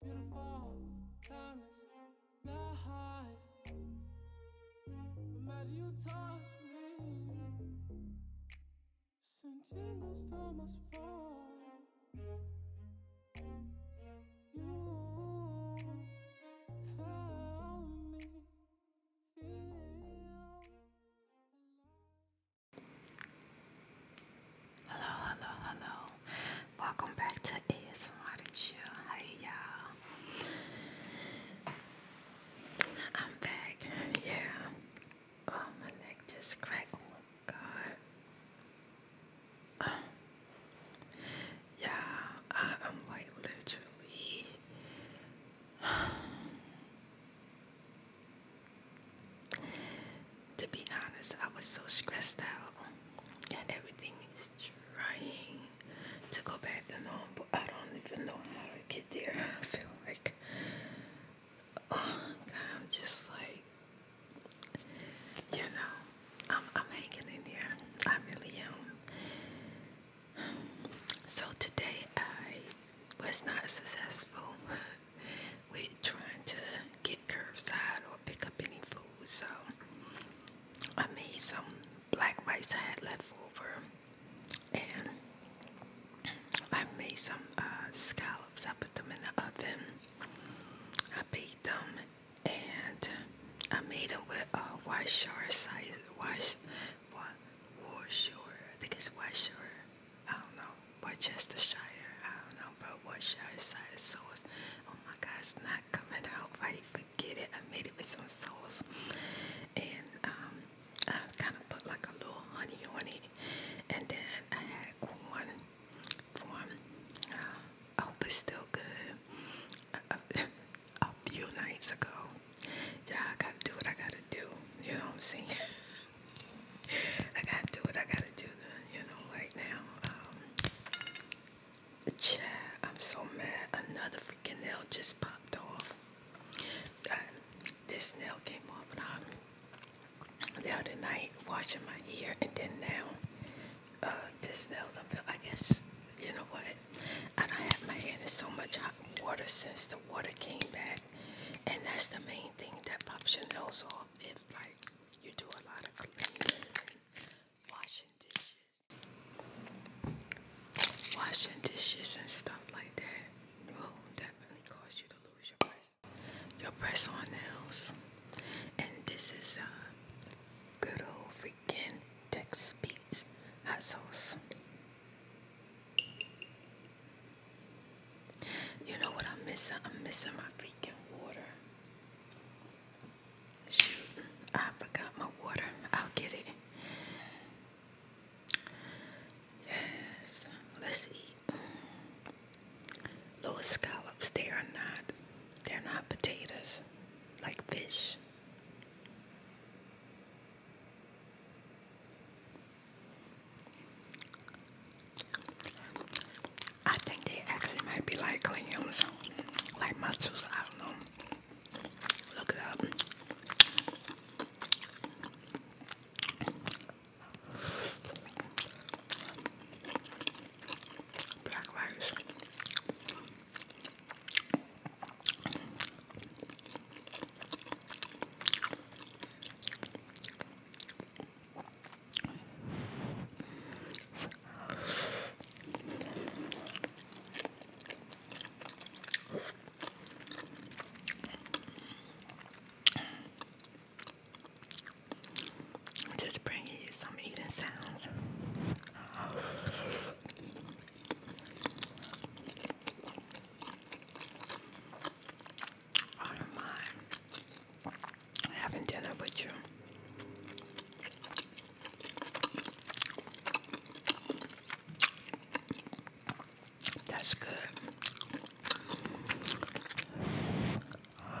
Beautiful, timeless, life. Imagine you touch me. Send tingles to my spine. You help me feel Hello, hello, hello. Welcome back to ASMR and Chill. Hey y'all. I'm back. Yeah. Oh, my neck just cracked. Oh, god. Yeah, I am like literally. to be honest, I was so stressed out and everything is trying to go back to normal, but I don't even know how to get there. I feel like, oh God, am just like, you know, I'm I'm hanging in here. I really am. So today I was not successful with trying to get curbside or pick up any food, so I made some black rice I had left over, and I made some uh, scallops. I put them in the oven. I baked them, and I made them with uh, Wyshore size. Wyshore, I think it's Wyshore. I don't know. Worcestershire. I don't know, but Worcestershire size sauce. Oh my God, it's not not coming out right. Forget it. I made it with some sauce, and um, I kind of put like a little honey on it, and then I had corn form. Uh, still good. Uh, a, few nights ago, yeah, I gotta do what I gotta do. You know what I'm saying? I gotta do what I gotta do. You know, right now. Um, Chad, I'm so mad. Another freaking nail just popped off. Uh, this nail came off when i the other night washing my hair, and then now uh, this nail. I guess you know what? I don't have my hand in so much hot water since the water came back, and that's the main thing that pops your nose off. If like you do a lot of cleaning, washing washing dishes. Washing dishes and stuff like that will definitely cause you to lose your press, your press on nails. And this is a good old freaking Texas Pete's hot sauce. You know what I'm missing? I'm missing my freaking water. Shoot, I forgot my water. I'll get it. Yes, let's eat. Those scallops, they are not, they're not potatoes, like fish. I think they actually might be like clay or something. Like muscles, I don't know. Look it up. Black just bringing you some eating sounds. All oh, of having dinner with you. That's good. Oh,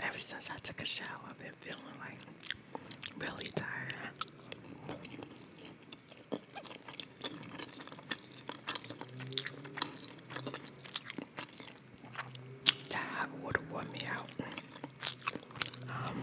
Ever since I took a shower, I've been feeling like really tired. That would water wore me out. Um,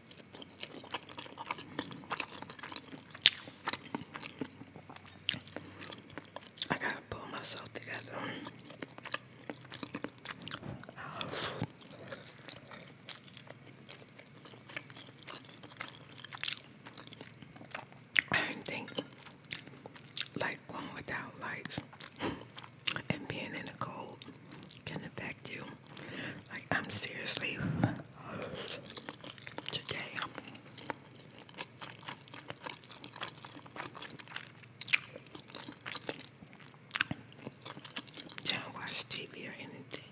I gotta pull myself together. I didn't think like going without lights and being in the cold can affect you. Like, I'm seriously today. Don't watch TV or anything.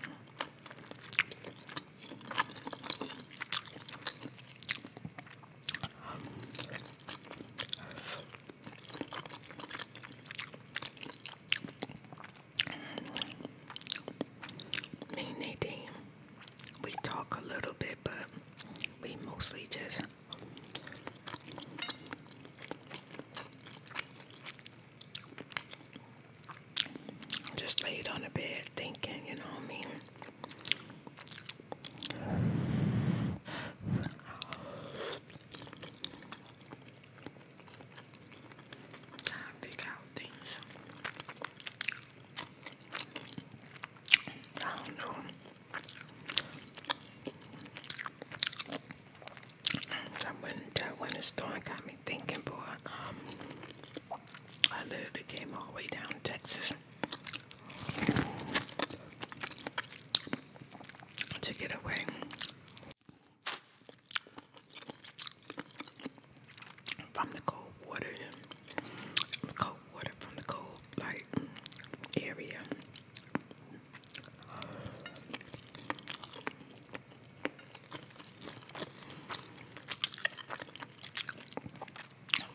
Me and Nadine, we talk a little bit, but we mostly just just laid on the bed thinking, you know what I mean? Trying to figure out things. I don't that went in the got me thinking, boy. Um, I literally came all the way down to Texas to get away from the cold water, cold water from the cold like area.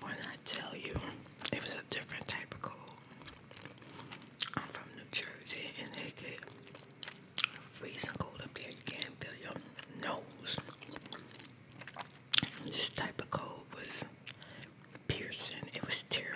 When I tell you, it was a different type of cold. I'm from New Jersey, and they get freezing cold up there. You can't feel your nose. This type of cold was piercing. It was terrible.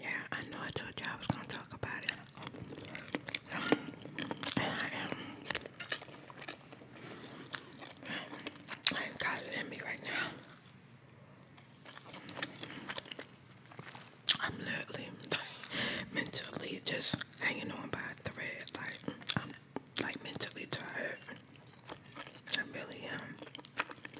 Yeah, I know I told you I was gonna talk about it. And I am. I got it in me right now. I'm literally mentally just hanging on by a thread. Like, I'm like mentally tired. I really am.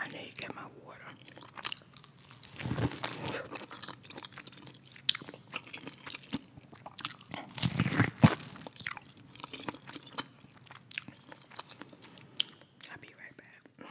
I need to get my water. I'll be right back.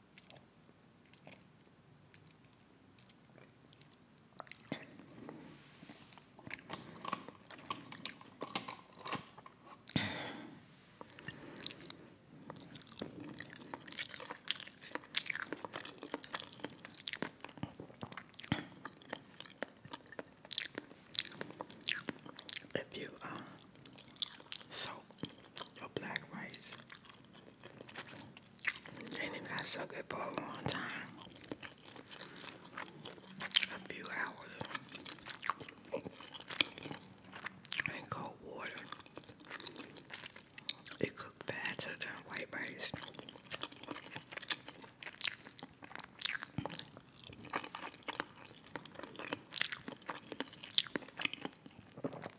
If you uh, soak your black rice and it got so good for a long time. A few hours. And cold water. It cooked faster than white rice.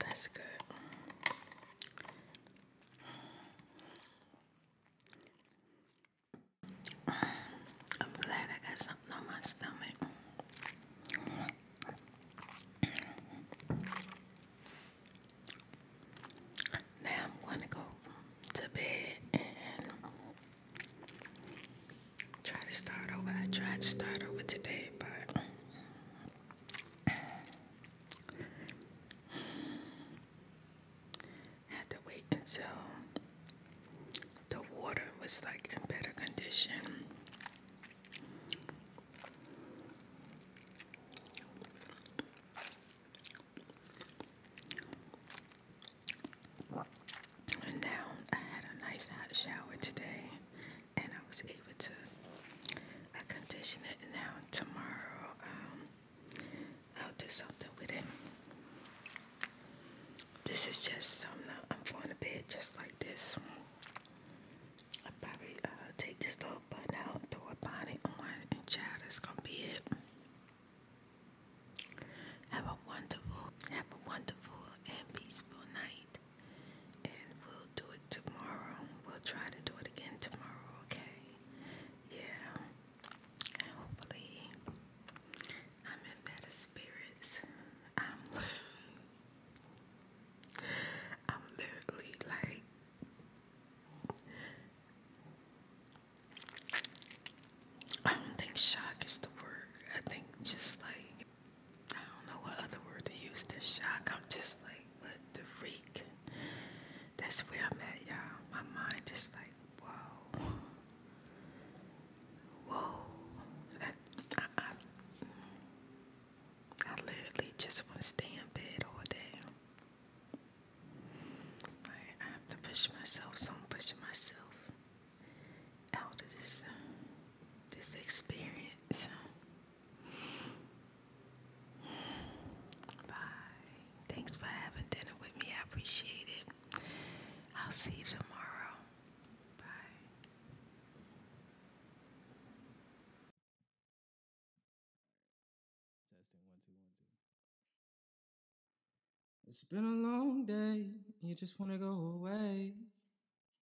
That's good. I'm glad I got something on my stomach. Now I'm going to go to bed and try to start over. I to start over today, but had to wait until the water was like in better condition. And now I had a nice hot shower today and I was able to I condition it now tomorrow um, I'll do something with it. This is just something I'm going to bed just like this. i probably uh, take this little button out, throw a bonnet on, and child, that's gonna be it. Have a wonderful, have a wonderful and peaceful night and we'll do it tomorrow. We'll try to do it again tomorrow, okay? Yeah. And hopefully, I'm in better spirits. I'm, I'm literally like. I don't think shock is the word. I think just like I don't know what other word to use to shock. I'm just like, what the freak? That's where I'm at, y'all. My mind just like, whoa. Whoa. I, I, I literally just want to stay in bed all day. I have to push myself, so I'm pushing myself out of this, uh, this experience. Thanks for having dinner with me. I appreciate it. I'll see you tomorrow. Bye. Testing one, two, one, two. It's been a long day. You just want to go away.